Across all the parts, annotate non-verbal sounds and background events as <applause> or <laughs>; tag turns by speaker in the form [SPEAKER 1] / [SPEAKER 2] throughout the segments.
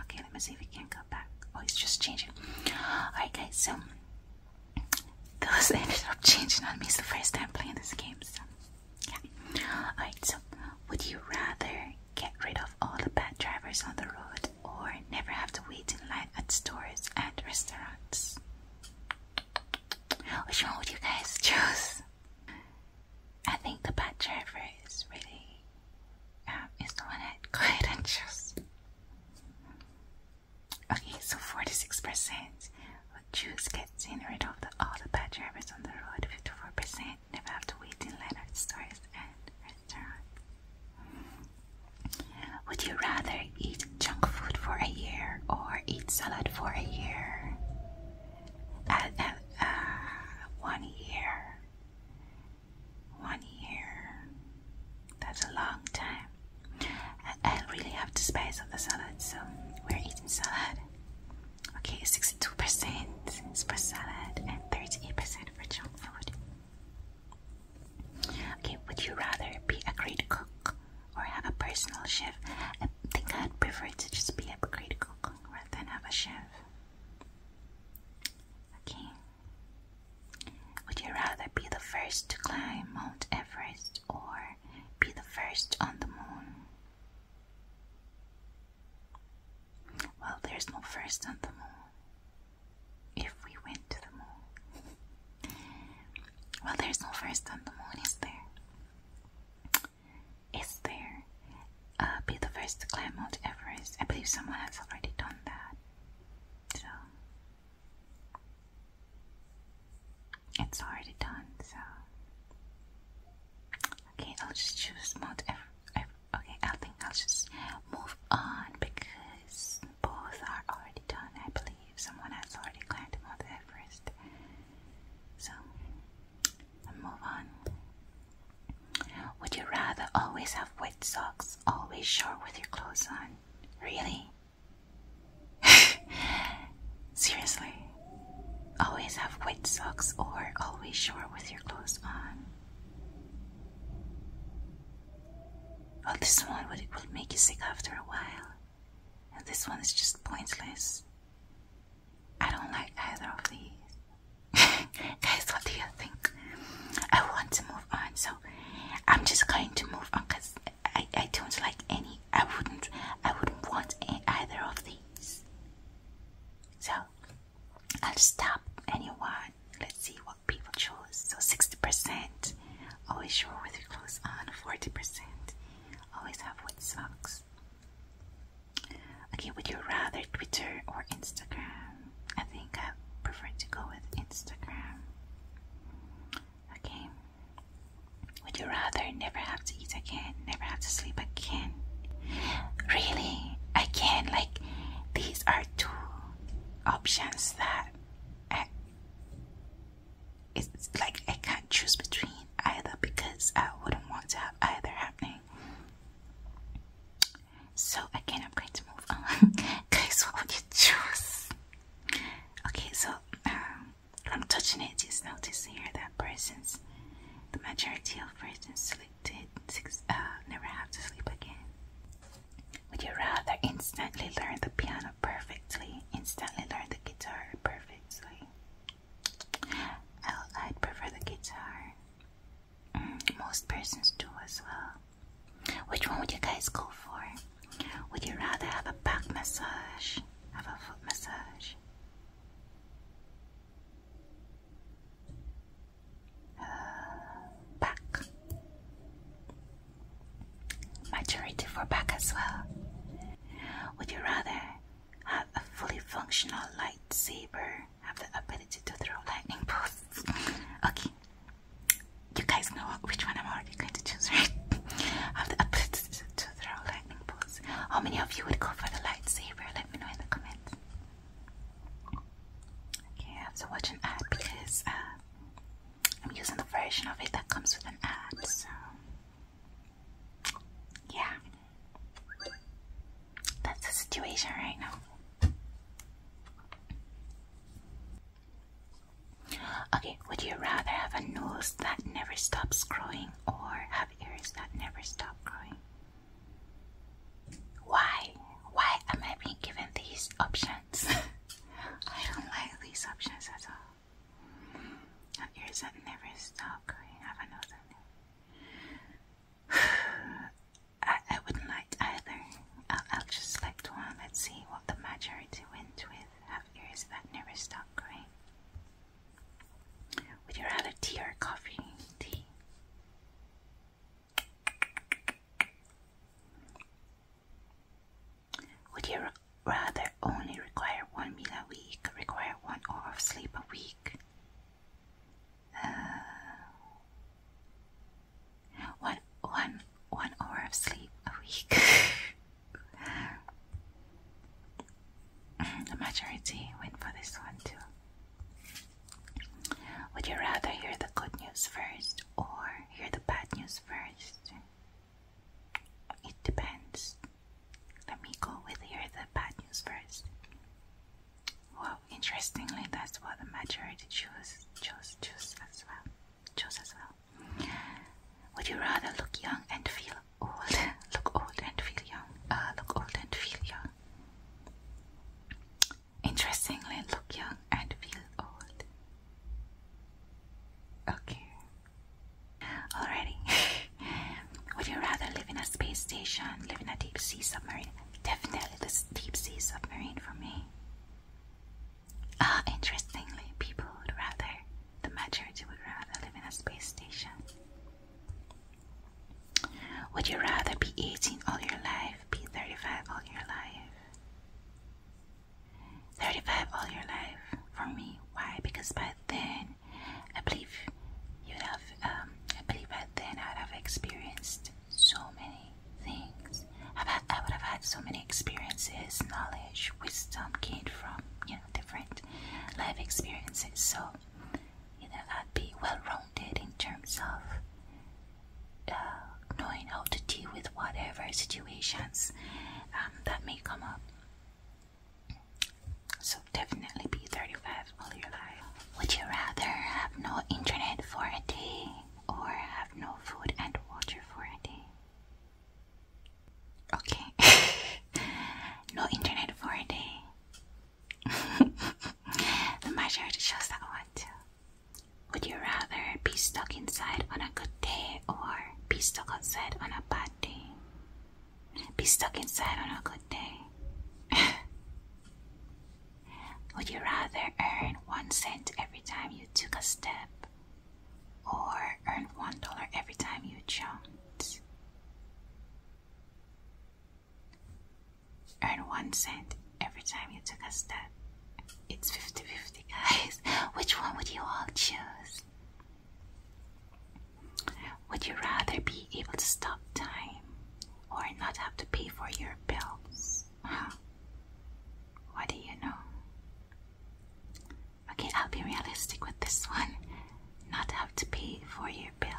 [SPEAKER 1] Okay, let me see if we can not go back. Oh, he's just changing. Alright, guys, so this <laughs> ended up changing on me. It's the first time playing this game, so yeah. Alright, so would you rather get rid of all the bad drivers on the road or never have to wait in line at stores and restaurants? Which one would you guys <laughs> choose? I think the bad driver is really um, is the one that would go ahead Okay, so 46% would choose getting rid of the, all the bad drivers on the road. 54% never have to wait in line at stores and restaurants. Would you rather eat junk food for a year or eat salad for a year? at, uh, one year. One year. That's a long time. I, really have to spice up the salad, so we're eating salad. Okay, 62% is for salad and 38% for junk food. Okay, would you rather be a great cook or have a personal chef? think I'd prefer to just be a great cook rather than have a chef. Okay. Would you rather be the first to climb Mount Everest or be the first on the moon? Well, there's no first on the moon. If we went to the moon. <laughs> well, there's no first on the moon, is there? is there. Uh, be the first climb Mount Everest. I believe someone has already done that. So it's already done. So okay, I'll just choose Mount Everest. Okay, I think I'll just move on because both are already done. I believe if someone has already climbed Mount Everest. So, move on. Would you rather always have wet socks, always short with your clothes on? Really? <laughs> Seriously? Always have wet socks or always short with your clothes on? Well, this one would, would make you sick after a while. And this one is just pointless. I don't like either of these. <laughs> Guys, what do you think? I want to move on, so I'm just going to move on because I, I don't like any. I wouldn't. I wouldn't want either of these. So I'll stop anyone. Let's see what people choose. So sixty percent always show with your clothes on. Uh, forty percent Always have wet socks. Okay, would you rather Twitter or Instagram? I think I prefer to go with Instagram. Okay. Would you rather never have to eat again, never have to sleep again? Really? Again, like these are two options that it's, like I can't choose between either because I wouldn't want to have either happening. So again, I'm going to move on, <laughs> guys. What would you choose? Okay, so um, I'm touching it. Just notice here that persons, the majority of persons selected, uh, never have to sleep again. Would you rather instantly learn the piano perfectly, instantly learn the guitar perfectly? i would prefer the guitar. Mm, most persons do as well. Which one would you guys go for? Would you rather have a back massage, have a foot massage? Uh, back my majority for back as well. Would you rather have a fully functional lightsaber, have the ability to throw lightning bolts? <laughs> okay, you guys know which one I'm already going to choose, right? <laughs> have the ability to throw lightning bolts. How many of you would go for the lightsaber? Let me know in the comments. Okay, I have to watch an ad because uh, I'm using the version of it that comes with an app, so yeah. That's the situation right now. Okay, would you rather have a nose that never stops growing or have ears that never stop growing? Why? Why am I being given these options? <laughs> I don't like these options at all. My ears that never stop going. <sighs> I I, wouldn't like either. I'll just select one. Let's see what the majority went with. Have ears that never stop growing. Would you rather tea or coffee? Tea. Would you rather only require one meal a week, require one hour of sleep a week? Uh, one, one, one hour of sleep a week. <laughs> the majority went for this one too. Would you rather hear the good news first or hear the bad news first? It depends. Let me go with hear the bad news first. Well, interestingly, that's what the majority chose. choose, choose as well. Choose as well. Would you rather look young and feel old? <laughs> look old and feel young. Uh, look old and feel young. Interestingly, look young and feel old. Okay. Alrighty. <laughs> Would you rather live in a space station, live a deep sea submarine? Definitely this deep sea submarine for me. Ah, interestingly, people would rather, the majority would rather live in a space station. Would you rather be 18 all your life, be 35 all your life? 35 all your life for me. Why? Because by then, I believe you'd have, um, I believe by then I'd have experienced so many things. I've had, I would have had so many experiences, knowledge, wisdom gained from, you know, different life experiences. So, either that be well rounded in terms of uh, knowing how to deal with whatever situations um, that may come up. So, definitely be 35 Would you rather have no internet for a day or have no food and water for a day? Okay, <laughs> no internet for a day the majority chose that one Would you rather be stuck inside on a good day or be stuck inside on a bad day? Be stuck inside on a good day. <laughs> Would you rather earn one cent every time you took a step or earn one dollar every time you jumped? Earn one cent every time you took a step. It's 50 50, guys. <laughs> Which one would you all choose? Would you rather be able to stop time or not have to pay for your bills? What do you know? Okay, I'll be realistic with this one. Not have to pay for your bill.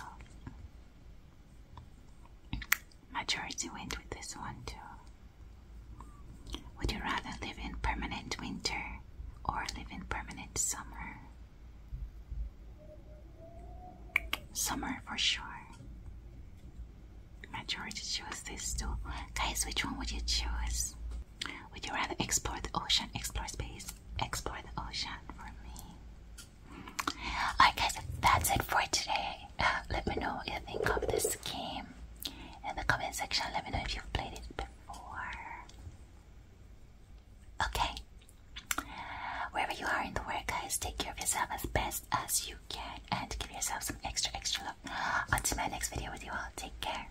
[SPEAKER 1] Majority went with this one too. Would you rather live in permanent winter or live in permanent summer? Summer for sure. Majority chose this too. Guys, which one would you choose? Would you rather explore the ocean, explore space? Explore the ocean for me. Alright, guys, that's it for today. Uh, let me know what you think of this game in the comment section. Let me know if you've played it before. Okay. Wherever you are in the world, guys, take care of yourself as best as you can and give yourself some extra, extra love. Until my next video with you all, take care.